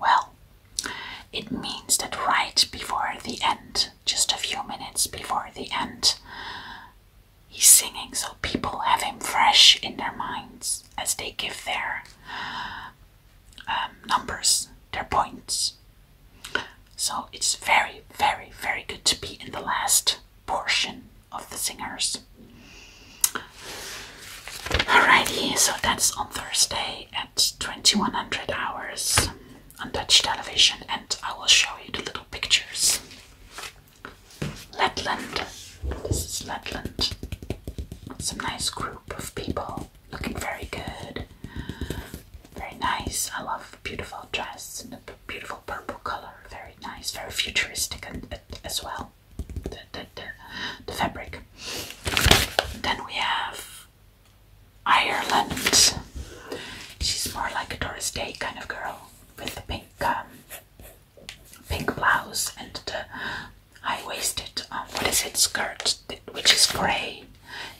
Well, it means that right before the end, just a few minutes before the end, he's singing so people have him fresh in their minds as they give their um, numbers, their points. So it's very, very, very good to be in the last portion of the singers. Alrighty, so that's on Thursday 2100 hours on Dutch television and I will show you the little pictures. Letland. This is Letland. Some nice group of people looking very good. Very nice. I love beautiful dress in a beautiful purple color. Very nice, very futuristic as well the, the, the, the fabric. Then we have Ireland. She's more like a Doris Day kind of girl with the pink um, pink blouse and the high-waisted um, what is it skirt which is grey.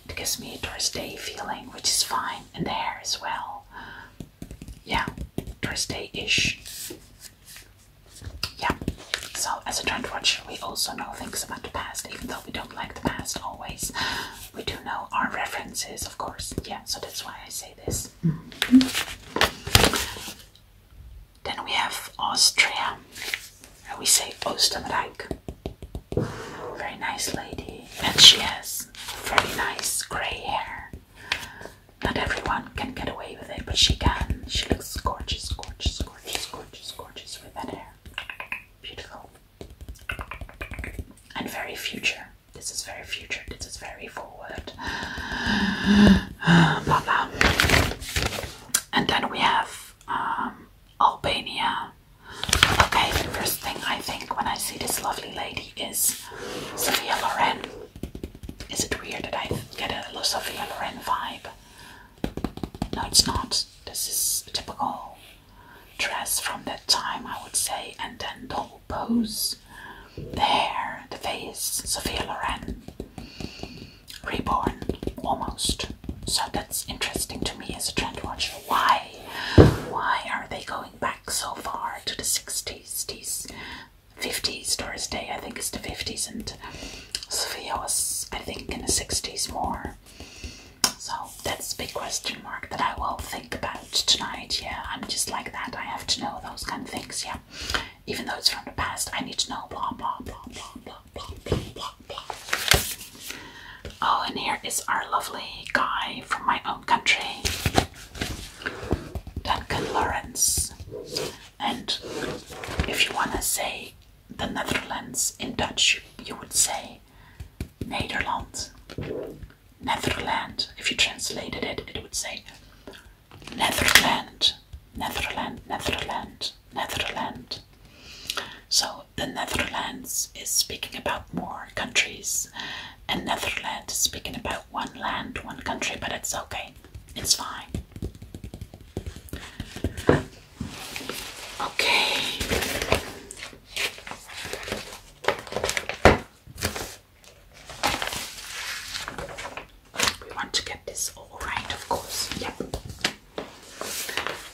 It gives me a Doris Day feeling, which is fine, and the hair as well. Yeah, Doris Day-ish. Yeah, so as a trend watcher, we also know things about the past, even though we don't like the past always. We do know our references, of course. Yeah, so that's why I say this. Then we have Austria, and we say Österreich. Very nice lady, and she has very nice grey hair. Not everyone can get away with it, but she can. She looks gorgeous, gorgeous, gorgeous, gorgeous, gorgeous, with that hair. Beautiful. And very future. This is very future. This is very forward. blah blah. And then we have um, Albania. Okay, the first thing I think when I see this lovely lady is Sophia Loren. Is it weird that I get a little Sofia Loren vibe? No, it's not. This is a typical dress from that time, I would say. And then the whole pose, the hair, the face, Sophia Loren, reborn almost. So that's interesting to me as a trend watcher. Why? Why are they going back so far to the 60s, fifties, or is Day, I think, it's the 50s, and Sophia was, I think, in the 60s more. So that's a big question mark that I will think about tonight. Yeah, I'm just like that. I have to know those kind of things. Yeah, even though it's from the past, I need to know blah blah blah blah blah blah blah blah blah. Oh, and here is our lovely guy from my own country, Duncan Lawrence. And if you want to say the Netherlands in Dutch, you would say Nederland. Netherland. If you translated it, it would say Netherland, Netherland, Netherland, Netherland. So the Netherlands is speaking about more countries, and Netherland is speaking about one land, one country, but it's okay, it's fine. Okay. We want to get this all right, of course. Yep.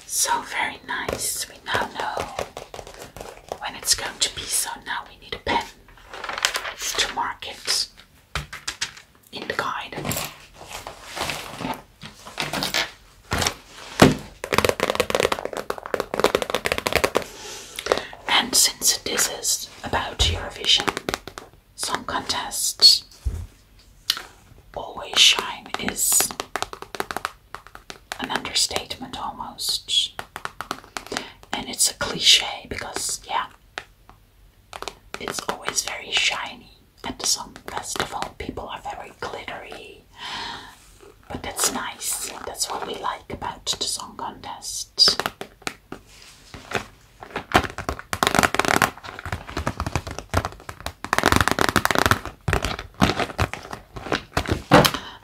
So very nice. We now know when it's going to be. So now we need a pen to mark it in the guide. And since this is about Eurovision Song Contest, Always Shine is an understatement almost. And it's a cliche because, yeah, it's always very shiny at the song festival people are very glittery but that's nice that's what we like about the song contest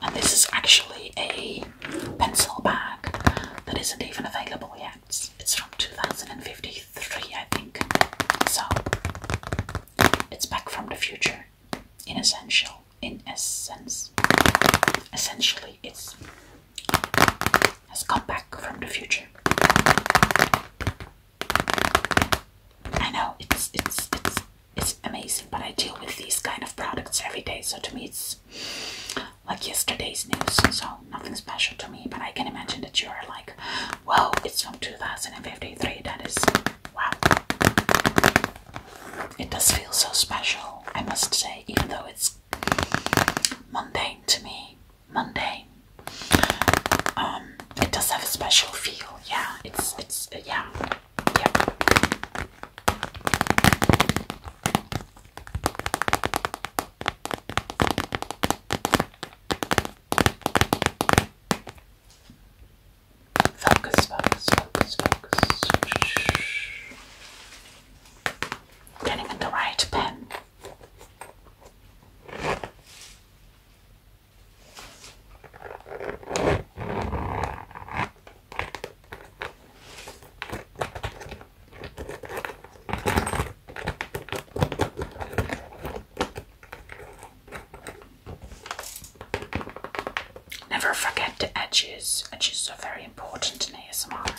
and this is actually a pencil bag that isn't even available yet it's from 2015 Three, I think. So it's back from the future. In essential, in essence, essentially, it's has come back from the future. I know it's it's it's it's amazing, but I deal with these kind of products every day, so to me it's like yesterday's news. So nothing special to me, but I can imagine that you are like, whoa, it's from 2053. That is wow. It does feel so special, I must say, even though it's mundane to me. Mundane. Um, it does have a special feel. Yeah, it's it's yeah. Yeah. Focus, focus, focus, Getting the right pen. Never forget the edges. Edges are very important in ASMR.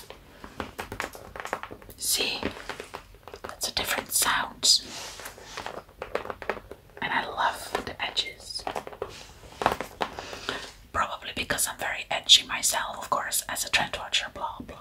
See, that's a different sound. And I love the edges. Probably because I'm very edgy myself, of course, as a trend watcher, blah blah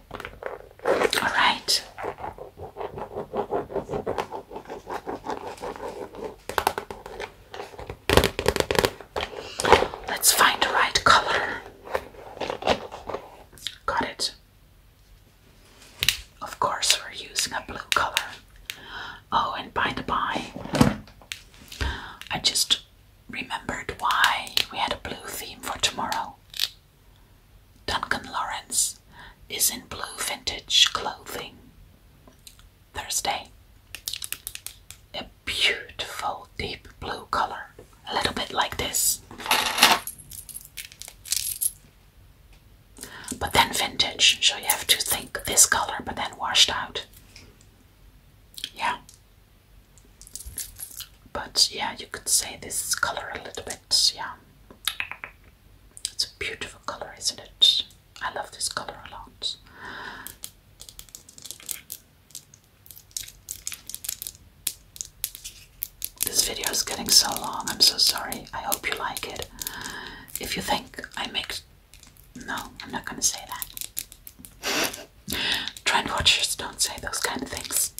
All right. Let's find the right color. Got it. Of course, we're using a blue color. Oh, and by the by, I just remembered why we had a blue theme for tomorrow. Duncan Lawrence is in blue vintage clothing. Thursday. A beautiful deep blue color, a little bit like this. But then vintage, so you have to think this color, but then washed out. Yeah. But yeah, you could say this color a little bit, yeah. It's a beautiful color, isn't it? I love this color a lot. This video is getting so long, I'm so sorry. I hope you like it. If you think I make. No, I'm not gonna say that. Trend watchers don't say those kind of things.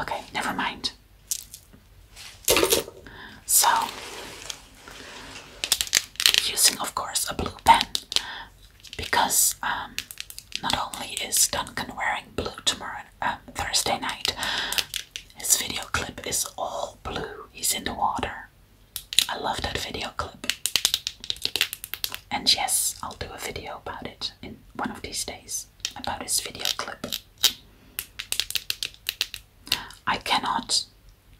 Okay, never mind. So, using of course a blue pen because um, not only is Duncan wearing blue tomorrow, um, Thursday night, his video clip is all blue. He's in the water. I love that video clip. And yes, I'll do a video about it in one of these days about this video clip. I cannot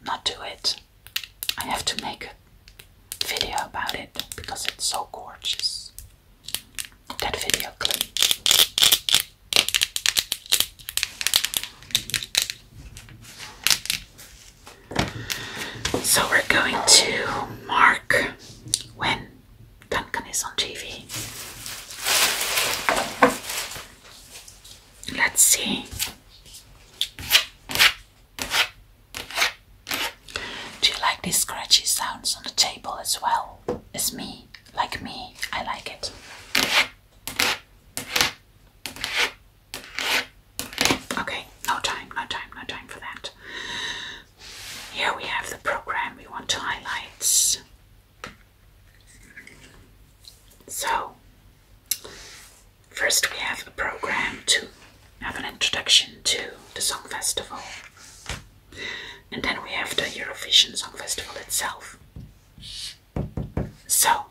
not do it. I have to make a video about it because it's so gorgeous. That video clip. So we're going to mark when Duncan is on TV. Let's see. Do you like these scratchy sounds on the table as well? As me, like me, I like it. Okay, no time, no time, no time for that. Here we have the program we want to highlight. So, first we have a program to have an introduction to the Song Festival. And then we have the Eurovision Song Festival itself. So,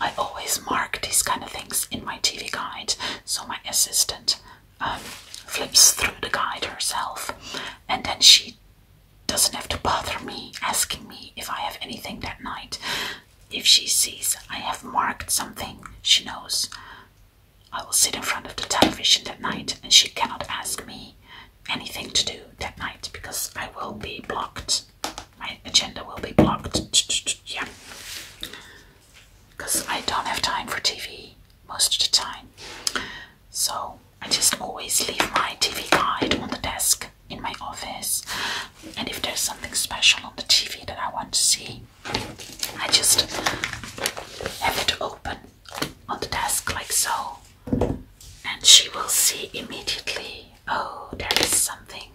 I always mark these kind of things in my TV guide so my assistant um, flips through the guide herself, and then she doesn't have to bother me asking me if I have anything that night. If she sees I have marked something, she knows I will sit in front of the television that night and she cannot ask me anything to do that night because I will be blocked. My agenda will be blocked. Yeah because I don't have time for TV most of the time. So I just always leave my TV guide on the desk in my office, and if there's something special on the TV that I want to see, I just have it open on the desk like so, and she will see immediately. Oh, there is something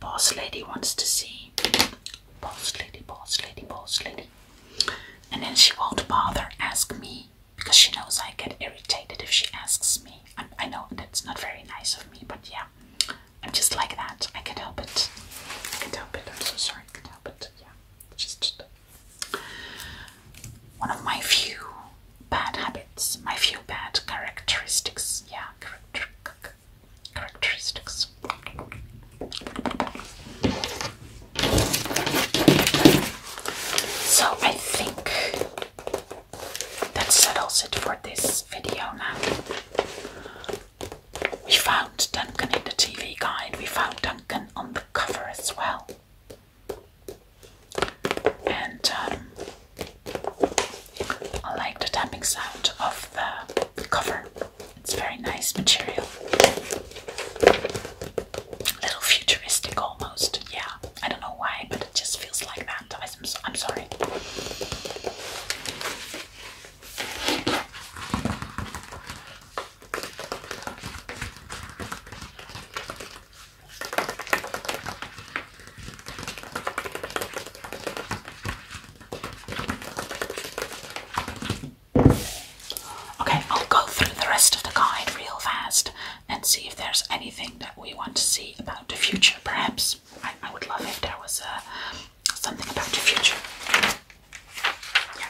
boss lady wants to see. Boss lady, boss lady, boss lady. And then she won't bother ask me because she knows I get irritated if she asks me. i I know that's not very nice of me, but yeah, I'm just like that. I can't help it. I can't help it. I'm so sorry. I can't help it. Yeah, just one of my few bad habits, my few bad characteristics. Yeah, characteristics. So I think that settles it for this video now. We found Duncan in the TV guide, we found Duncan on the cover as well. And um, I like the tapping sound of the cover. It's very nice material. little futuristic almost, yeah. I don't know why, but it just feels like that. Guys, I'm sorry. Okay, I'll go through the rest of the guide real fast and see if there's anything that we want to see about the future. Perhaps I, would love if there was uh, something about the future. Yeah.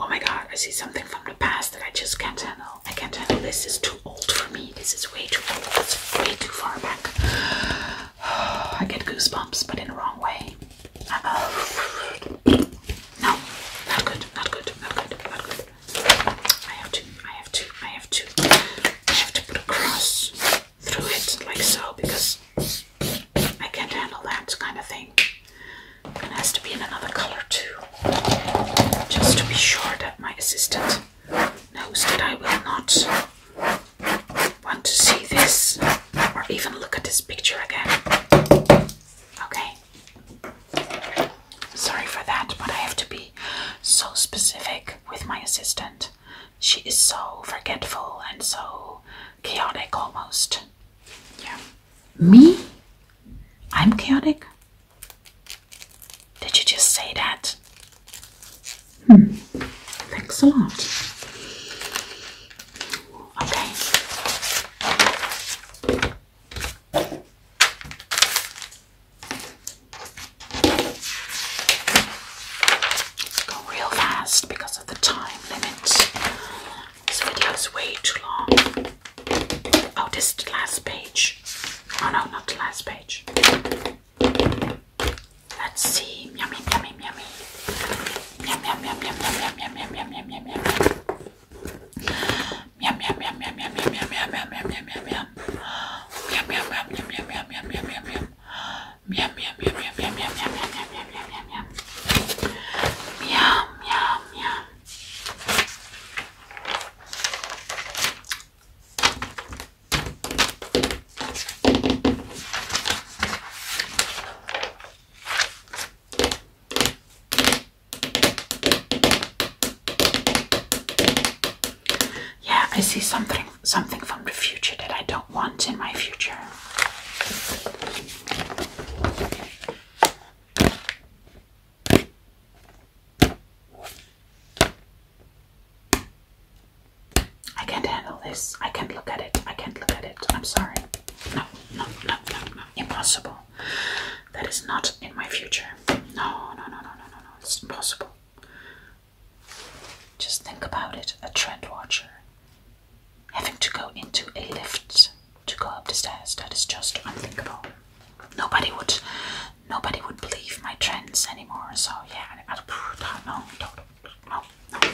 Oh my god, I see something from the past that I just can't handle. I can't handle this. is too old for me. This is way too old. It's way too far back. I get goosebumps, but in the wrong way. No, not good, not good, not good, not good. I have to, I have to, I have to, I have to put a cross through it like so because I can't handle that kind of thing. And it has to be in another color too. Just to be sure that my assistant knows that I will not want to see this or even look at this picture again. Okay. Sorry for that, but I have to be so specific with my assistant. She is so forgetful and so chaotic almost. Yeah. Me? I'm chaotic? Did you just say that? Hmm, thanks a lot. Okay. go real fast because of the time limit. This video is way too long. Oh, this is the last page. Oh no, not the last page. Let's see. Yummy, yummy, yummy. Yum, yum, yum, yum, yum, yum, yum, yum, yum, yum, yum, yum. Yum, yum, yum, yum, yum, yum, yum, yum, yum, yum, yum, yum, yum. Yum, yum, yum, yum, yum, yum, yum, yum, yum, yum. Yum, yum, yum, yum, yum, yum, yum, yum, yum, yum, yum, yum, yum. Yum, yum, yum. Yeah, I see something something from the future that I don't want in my future. I can't handle this. I can't look at it. I can't look at it. I'm sorry. No, no, no, no, no. Impossible. That is not in my future. No, no, no, no, no, no, no. It's impossible. Just think about it. A trend watcher having to go into a lift to go up the stairs. That is just unthinkable. Nobody would, nobody would believe my trends anymore. So yeah, I, I, no, no, no, no, no.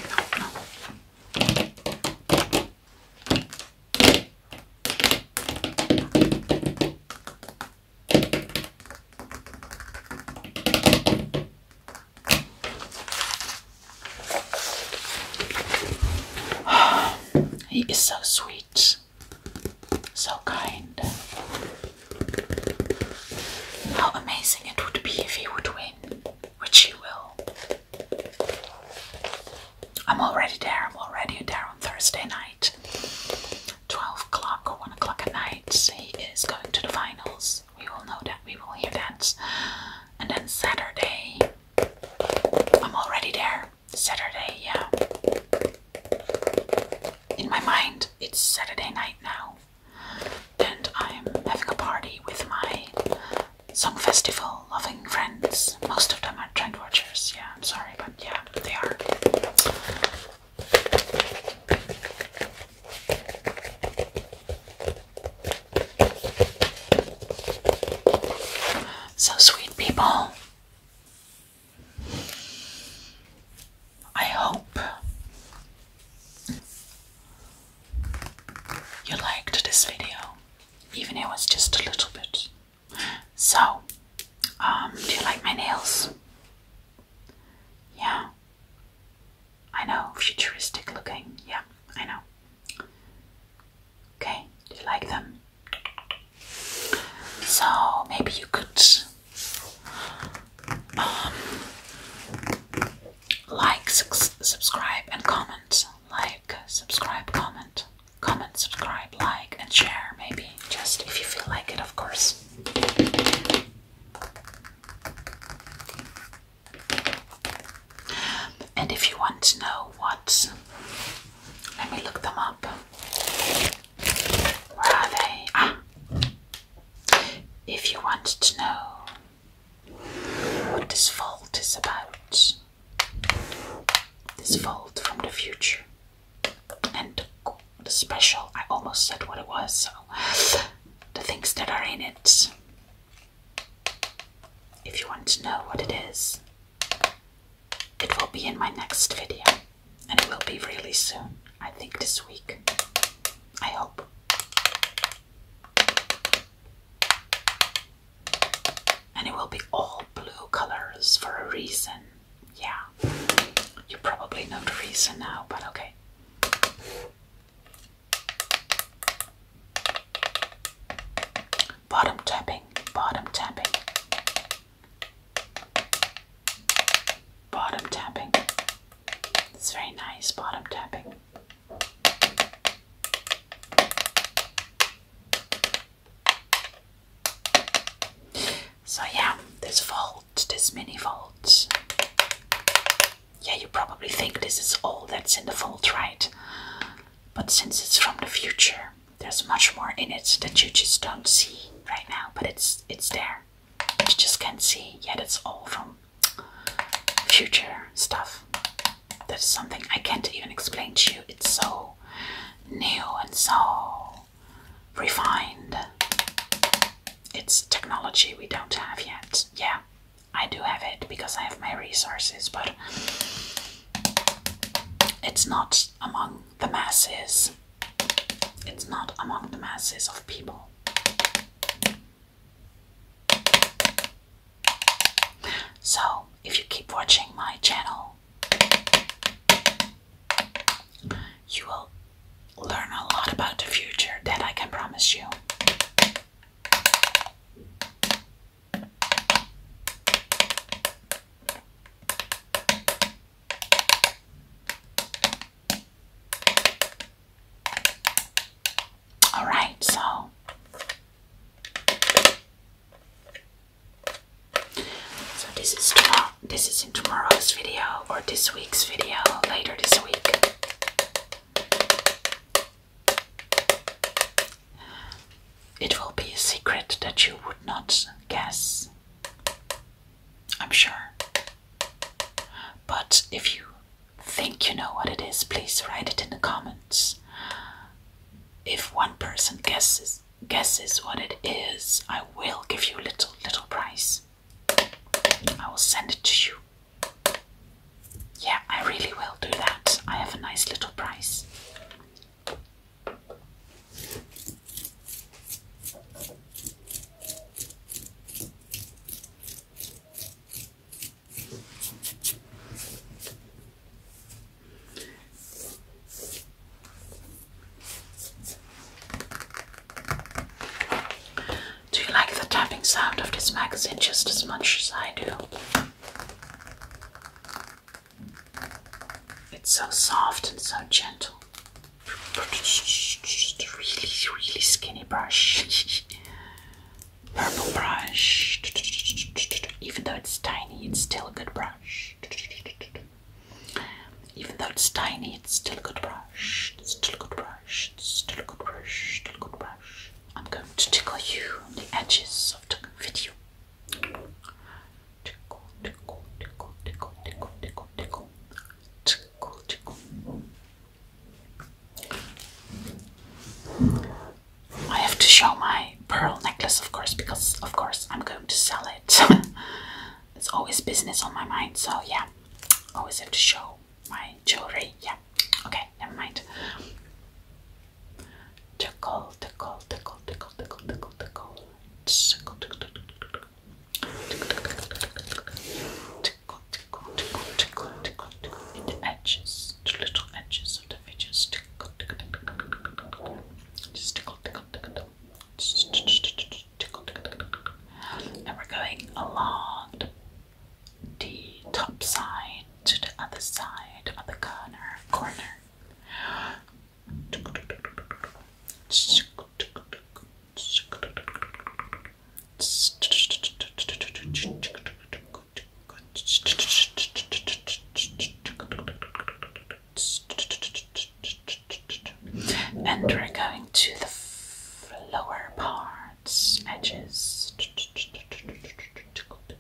He is so sweet, so kind. How amazing it would be if he would win, which he will. I'm already there, I'm already there on Thursday night. 12 o'clock or 1 o'clock at night, he is going to the finals. We will know that, we will hear that. And then Saturday, I'm already there. Saturday, yeah. In my mind, it's Saturday night now, and I'm having a party with my song festival loving friends. Most of them are trend watchers, yeah, I'm sorry, but yeah, they are. So, sweet people, I hope you liked this video, even it was just a little bit. So, um, do you like my nails? Yeah, I know, futuristic looking. Yeah, I know. Okay, do you like them? So maybe you could um, like, subscribe, and comment. Like, subscribe, comment. Comment, subscribe, like, and share, maybe. Just if you feel like it, of course. And if you want to know what, let me look them up. Where are they? Ah! If you want to know what this vault is about, this vault from the future, and the special, I almost said what it was, so the things that are in it. If you want to know what it is, it will be in my next video, and it will be really soon, I think this week. I hope. And it will be all blue colors for a reason. Yeah. You probably know the reason now, but okay. Bottom tapping, bottom tapping, bottom tapping. It's very nice, bottom tapping. So, yeah, this vault, this mini vault. Yeah, you probably think this is all that's in the vault, right? But since it's from the future, there's much more in it that you just don't see right now, but it's it's there. You just can't see yet. It's all from future stuff. That's something I can't even explain to you. It's so new and so refined. It's technology we don't have yet. Yeah, I do have it because I have my resources, but it's not among the masses. It's not among the masses of people. So, if you keep watching my channel, you will learn a lot about the future that I can promise you. All right, so so this is tomorrow. This is in tomorrow's video or this week's video later this week. It will be a secret that you would not guess, I'm sure. But if you think you know what it is, please write it in the comments. If one person guesses guesses what it is, I will give you a little little prize. I will send it to you. Yeah, I really will do that. I have a nice little prize. Do you like the tapping sound of this magazine just as much as I do? It's so soft and so gentle. Just a really, really skinny brush. Purple brush. Even though it's tiny, it's still a good brush. Even though it's tiny, it's still a good brush. It's still a good brush. It's still a good brush. Still a good brush. I'm going to tickle you on the edges of the video tickle, tickle, tickle, tickle, tickle, tickle, tickle, tickle, tickle. I have to show my pearl necklace, of course, because of course I'm going to sell it. it's always business on my mind, so yeah, always have to show my jewelry. Yeah, okay, never mind. Tickle, tickle, tickle, tickle, tickle, tickle, tickle. Tickle, tickle, tickle, tickle. Tickle, tickle, tickle, tickle, tickle, tickle. In the edges, the little edges of the features. Tickle, tickle, tickle, tickle, tickle. Just tickle, tickle, tickle, tickle. Just tickle, tickle, tickle, tickle. And we're going along the, the top side to the other side, other corner, corner, and we're going to the lower parts, edges.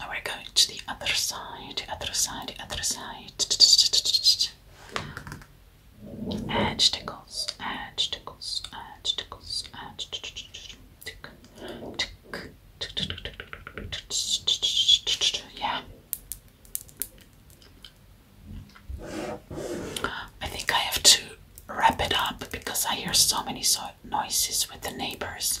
Now we're going to the other side, other side, other side. Edge tickles, edge tickles, edge tickles, edge tick, tick, yeah. I think I have to wrap it up because I hear so many so noises with the neighbors.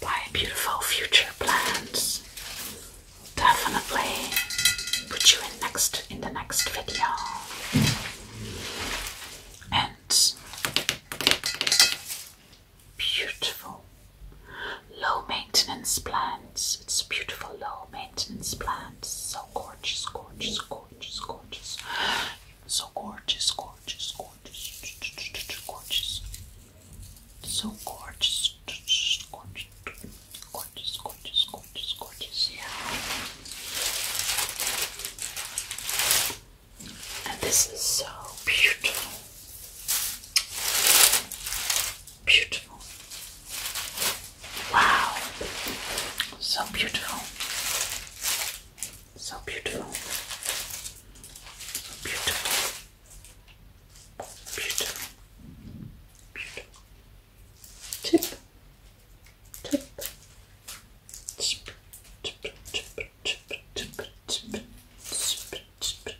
by beautiful future plants. Definitely put you in next in the next video. And beautiful low maintenance plants. It's beautiful low maintenance plants. So gorgeous, gorgeous, gorgeous, gorgeous. So gorgeous, gorgeous, gorgeous gorgeous, gorgeous, so gorgeous, gorgeous, gorgeous, gorgeous, gorgeous, gorgeous. Yeah. And this is so beautiful, beautiful. Wow, so beautiful. So beautiful. So beautiful. Beautiful. Beautiful. Tip. Tip. Tip. Tip. Tip. Tip. Tip.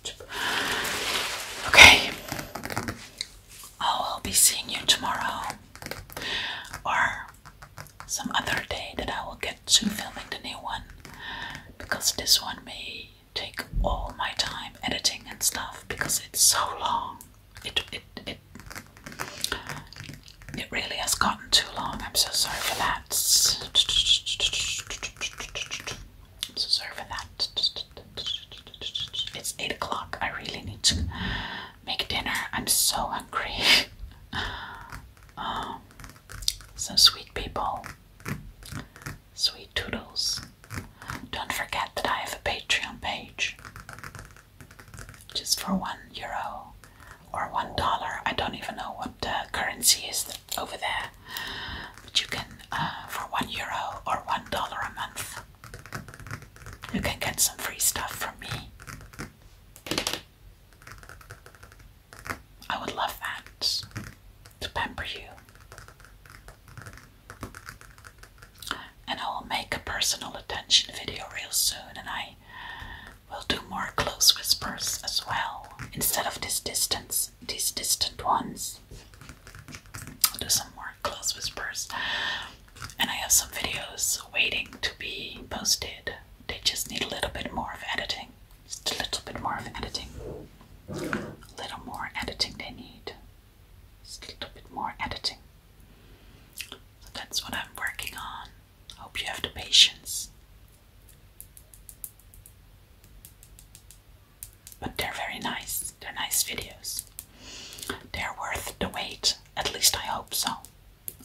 Tip. Okay. I oh, will be seeing you tomorrow or some other day that I will get to filming the new one because this one may take all my time editing and stuff because it's so long. It it it it really has gotten too long. I'm so sorry for that. I'm so sorry for that. It's eight o'clock. I really need to make dinner. I'm so hungry. um, some sweet people, sweet toodles. Don't forget that I have a Patreon page. Just for one euro or one dollar, I don't even know what currency is over there. But you can, uh, for one euro or one dollar a month, you can get some free stuff from me. I would love that to pamper you. And I will make a personal attention video real soon, and I will do more close whispers as well instead of this distance, these distant ones. I'll do some more close whispers, and I have some videos waiting to be posted they just need a little bit more of editing. Just a little bit more of editing. A little more editing they need. a little bit more editing. that's what I'm working on. Hope you have the patience. But they're very nice. They're nice videos. They're worth the wait. At least I hope so.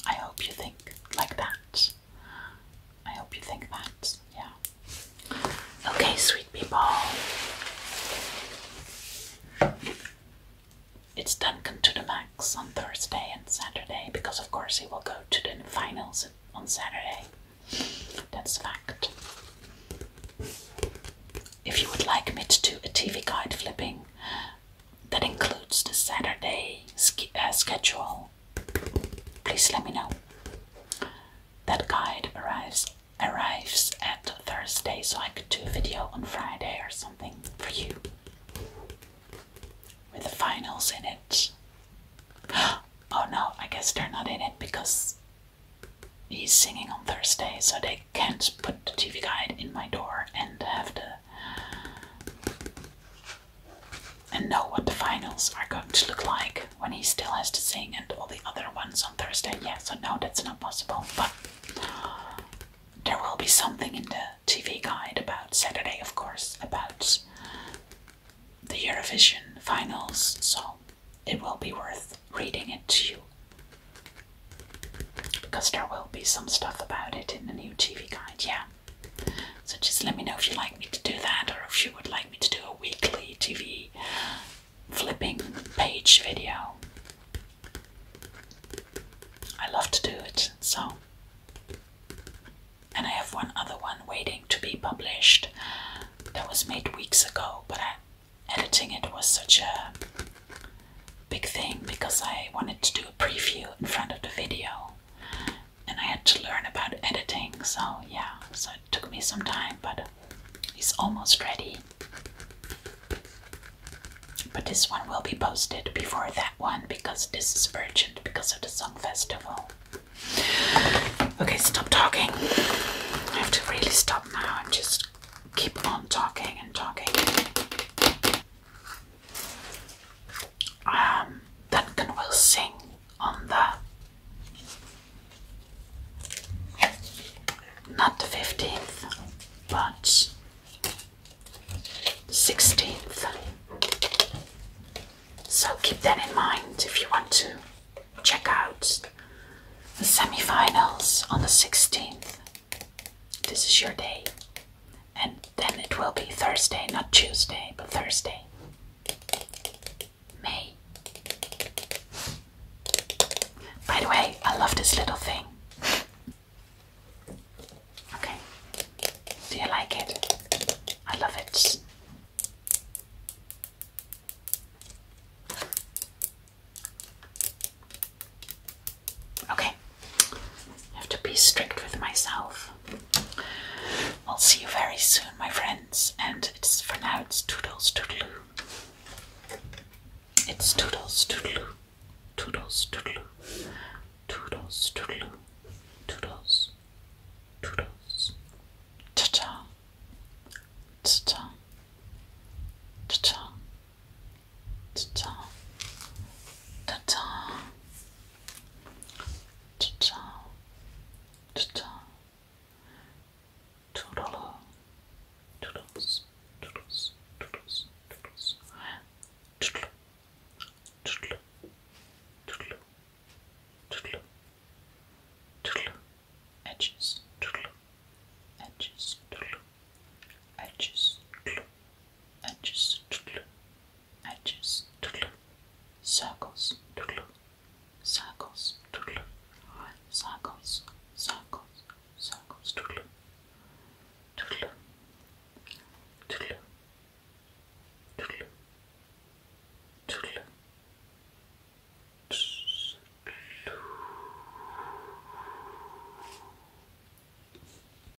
I hope you think like that. I hope you think that, yeah. Okay, sweet people. It's Duncan to the max on Thursday and Saturday because, of course, he will go to the finals on Saturday. That's a fact. If you would like me to do a TV guide flipping that includes the Saturday uh, schedule, please let me know. That guide arrives arrives at Thursday, so I could do a video on Friday or something for you with the finals in it. Oh no, I guess they're not in it because he's singing on Thursday, so they can't put the TV guide in my door and have to and know what the finals are going to look like when he still has to sing and all the other ones on Thursday. Yeah, so no, that's not possible. But there will be something in the TV guide about Saturday, of course, about the Eurovision finals, so it will be worth reading it to you. Because there will be some stuff about it in the new TV guide, yeah. So just let me know if you'd like me to do that or if you would like me to do a weekly TV flipping page video. I love to do it, so. And I have one other one waiting to be published that was made weeks ago, but I, editing it was such a big thing because I wanted to do a preview in front of the video and I had to learn about editing, so yeah, so it took me some time, but it's almost ready. But this one will be posted before that one because this is urgent because of the Song Festival. Okay, stop talking. I have to really stop now and just keep on talking and talking. Duncan um, will sing on the not the fifteenth, but sixteenth. So keep that in mind if you want to check out the semi-finals on the sixteenth. This is your day and then it will be Thursday, not Tuesday, but Thursday. May. By the way, I love this little thing. Okay. Do you like it? I love it. Okay, I have to be strict with myself. I'll see you very soon, my friends, and it's for now it's toodles toodaloo. It's toodles toodaloo, toodles toodaloo, toodles toodaloo, toodles, toodles. Ta ta, ta ta, ta ta, ta ta, ta Ciao, ciao, toodle, toodles, toodles, toodles, toodles, toodle, toodle, toodle, toodle, toodle, edges, toodle, edges, toodle, edges, toodle, edges, toodle, edges, circles, circles, circles, circles, circles,